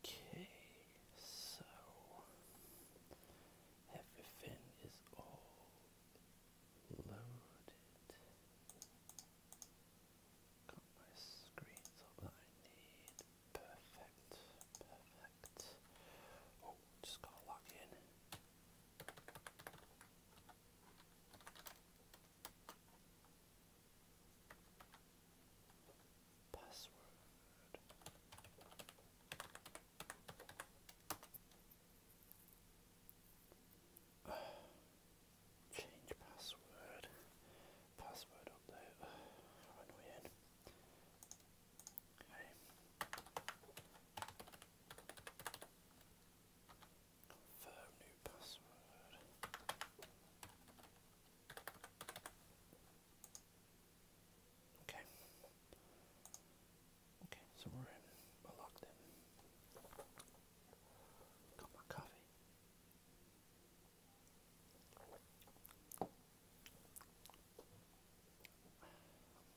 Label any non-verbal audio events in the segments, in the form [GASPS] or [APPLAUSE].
Okay, so everything is all loaded. Got my screens up that I need. Perfect, perfect. Oh, just gotta log in. Password. change password. Password update. Uh, [SIGHS] how annoying. Okay. Confirm new password. Okay. Okay, so we're in. we locked in. Got my coffee.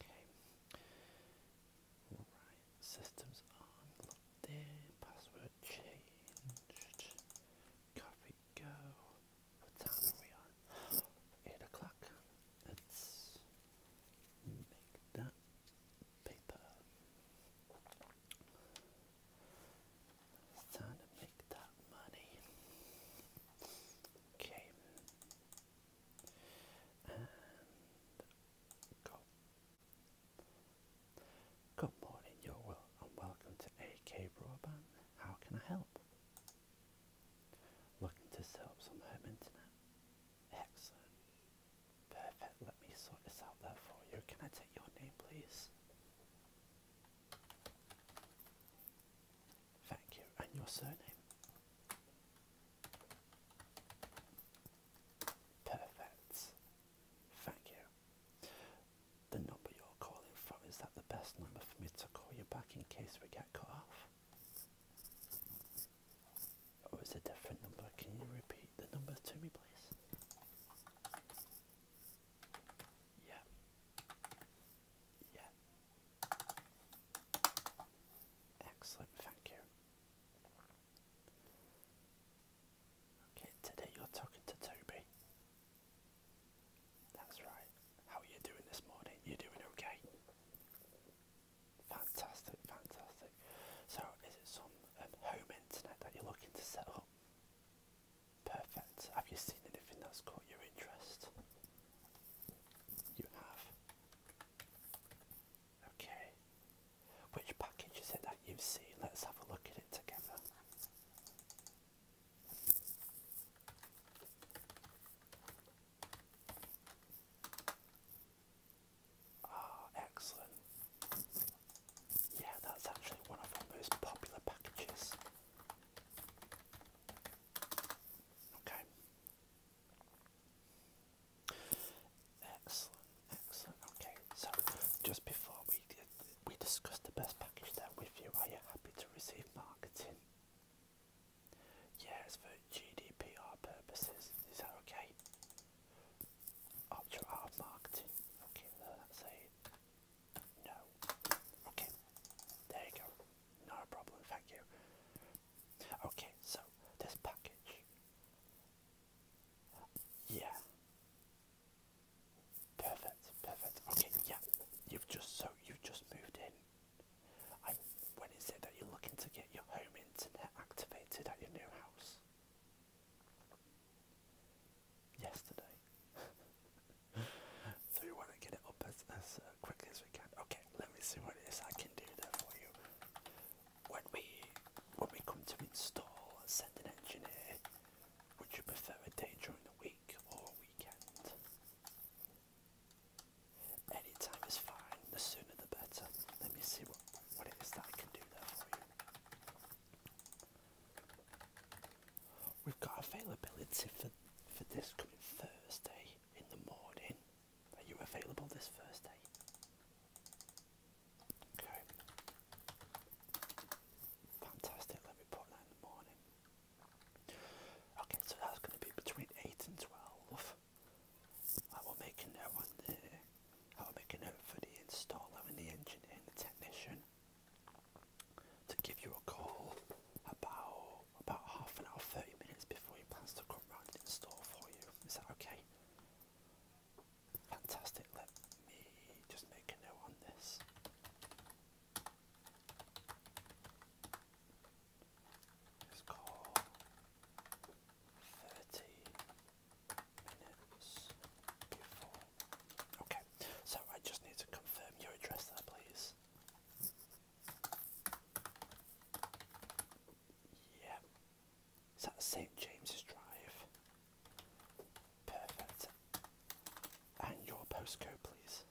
Okay. Right, systems on, logged there. password changed, coffee go. What time are we on? [GASPS] 8 o'clock. Let's make that paper. It's time to make that money. Okay. And go Good morning, your will, and welcome to AK Broadband. How can I help? Looking to set up some home internet? Excellent. Perfect, let me sort this out there for you. Can I take your name, please? Thank you, and your surname? Perfect. Thank you. The number you're calling from, is that the best number for me to call you back in case we get cut off? Or is a different number? Can you repeat the number to me, please? Yeah. Yeah. Excellent, thank you. Okay, today you're talking to Toby. That's right. How are you doing this morning? You are doing okay? Fantastic, fantastic. So, is it some um, home internet that you're looking to set up? Perfect. Have you seen anything that's caught your interest? You have. Okay. Which package is it that you've seen? Let's have a look at it together. Ah, excellent. Yeah, that's actually one of our most popular packages. Okay. Excellent, excellent. Okay, so just before we we discussed the best package there with you. Are you happy to receive marketing? Yes, for GDPR purposes. Is that okay? Ultra R marketing. Okay, that's no. Okay, there you go. No problem. Thank you. Okay, so this package. Yeah. Perfect, perfect. Okay, yeah. You've just so you've just moved in. I when is it that you're looking to get your home internet activated at your new house? Yesterday. [LAUGHS] so we want to get it up as, as uh, quickly as we can. Okay, let me see what it is I can do there for you. When we when we come to install and send an engineer, would you prefer a day during the week or weekend? Any time is fine, the sooner the better. Let me see what, what it is that I can do there for you. We've got availability for for this coming Thursday in the morning. Are you available this Thursday? Okay. Fantastic. Let me put that in the morning. Okay, so that's going to be between eight and twelve. I will make a note on the. I will make a note for the installer and the engineer the technician to give you a call about about half an hour, thirty minutes before he plans to come round and install for you. Is that okay? Fantastic. Let me just make a note on this. Let's thirty minutes before. Okay, so I just need to confirm your address there, please. Yeah. Is that St. James's Drive? Perfect. And your postcode, please.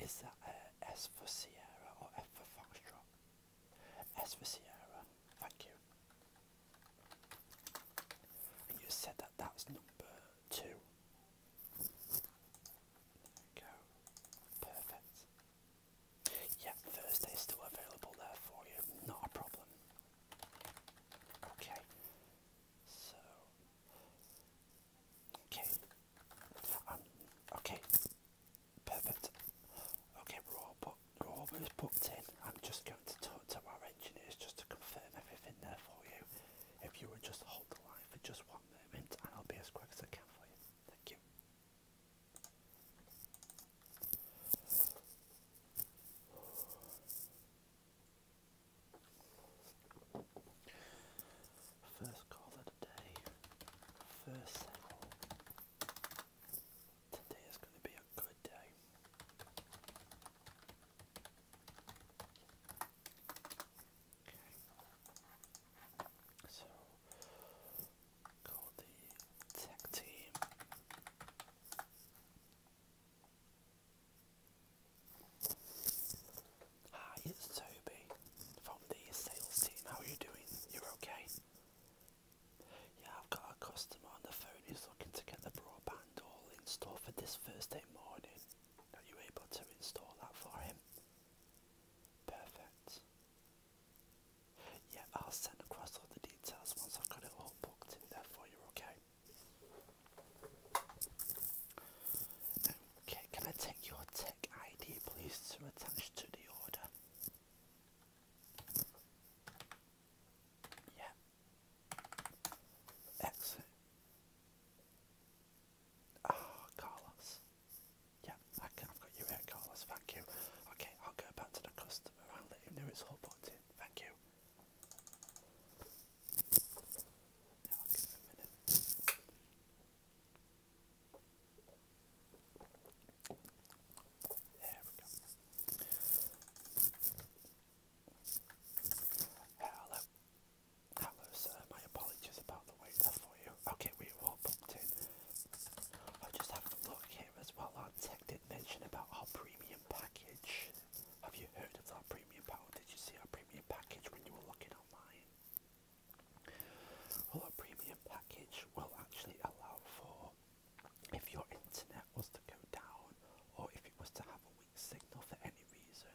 Is that uh, S for Sierra or F for Foxtrot? S for Sierra. Thank you. you said that that's number two. There we go. Perfect. Yeah, Thursday's still available there for you. Not a problem. Okay. So. Okay. Um, okay. Perfect. Okay, we but they in. I'm just going to talk to our engineers just to confirm everything there for you. If you would just hold the line for just one moment and I'll be as quick as I can for you. Thank you. First call of the day. First Today is going to be a good day. Okay. So, call the tech team. Hi, it's Toby from the sales team. How are you doing? You're okay? Yeah, I've got a customer on the phone who's looking to get the broadband all installed for this Thursday morning. Are you able to install that for him? Perfect. Yeah, I'll send across all the details once I've got it all booked in there for you, okay? Okay, can I take your tech ID please to attach to the order? Yeah. Exit. oh, Carlos. Yeah, I I've got you here, Carlos. Thank you. Okay, I'll go back to the customer and let him know it's all booked Thank you. Now give him a minute. There Hello. Hello, sir. My apologies about the wait there for you. Okay, we were all booked in. i just have a look here as well. Our tech did mention about our premium package. Have you heard of our premium package? Did you see our premium package when you were looking online? Well, a premium package will actually allow for if your internet was to go down or if it was to have a weak signal for any reason,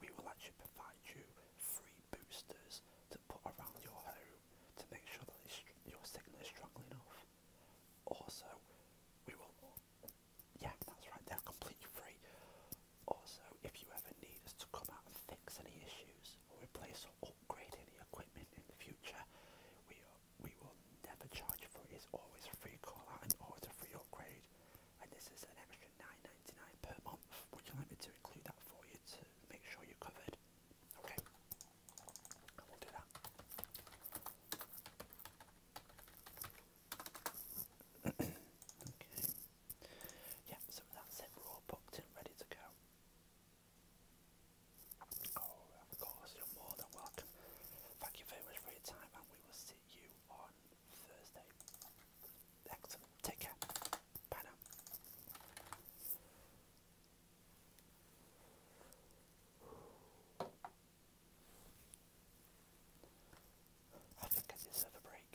we will actually provide you free boosters to put around your home to make sure that your signal is strong enough. Also, we will, yeah, that's right, they're completely free. Also, if you ever need us to come out and fix any issues or replace upgrading the equipment in the future. We we will never charge for it. It's always free call out and always a free upgrade. And this is an extra 9 per month. Would you like me to include that for you to make sure you're covered? Okay, I will do that. [CLEARS THROAT] okay. Yeah, so that's all booked and ready to go of course, you're more than welcome. Thank you very much for your time, and we will see you on Thursday. Excellent. Take care. Bye I think I deserve a break.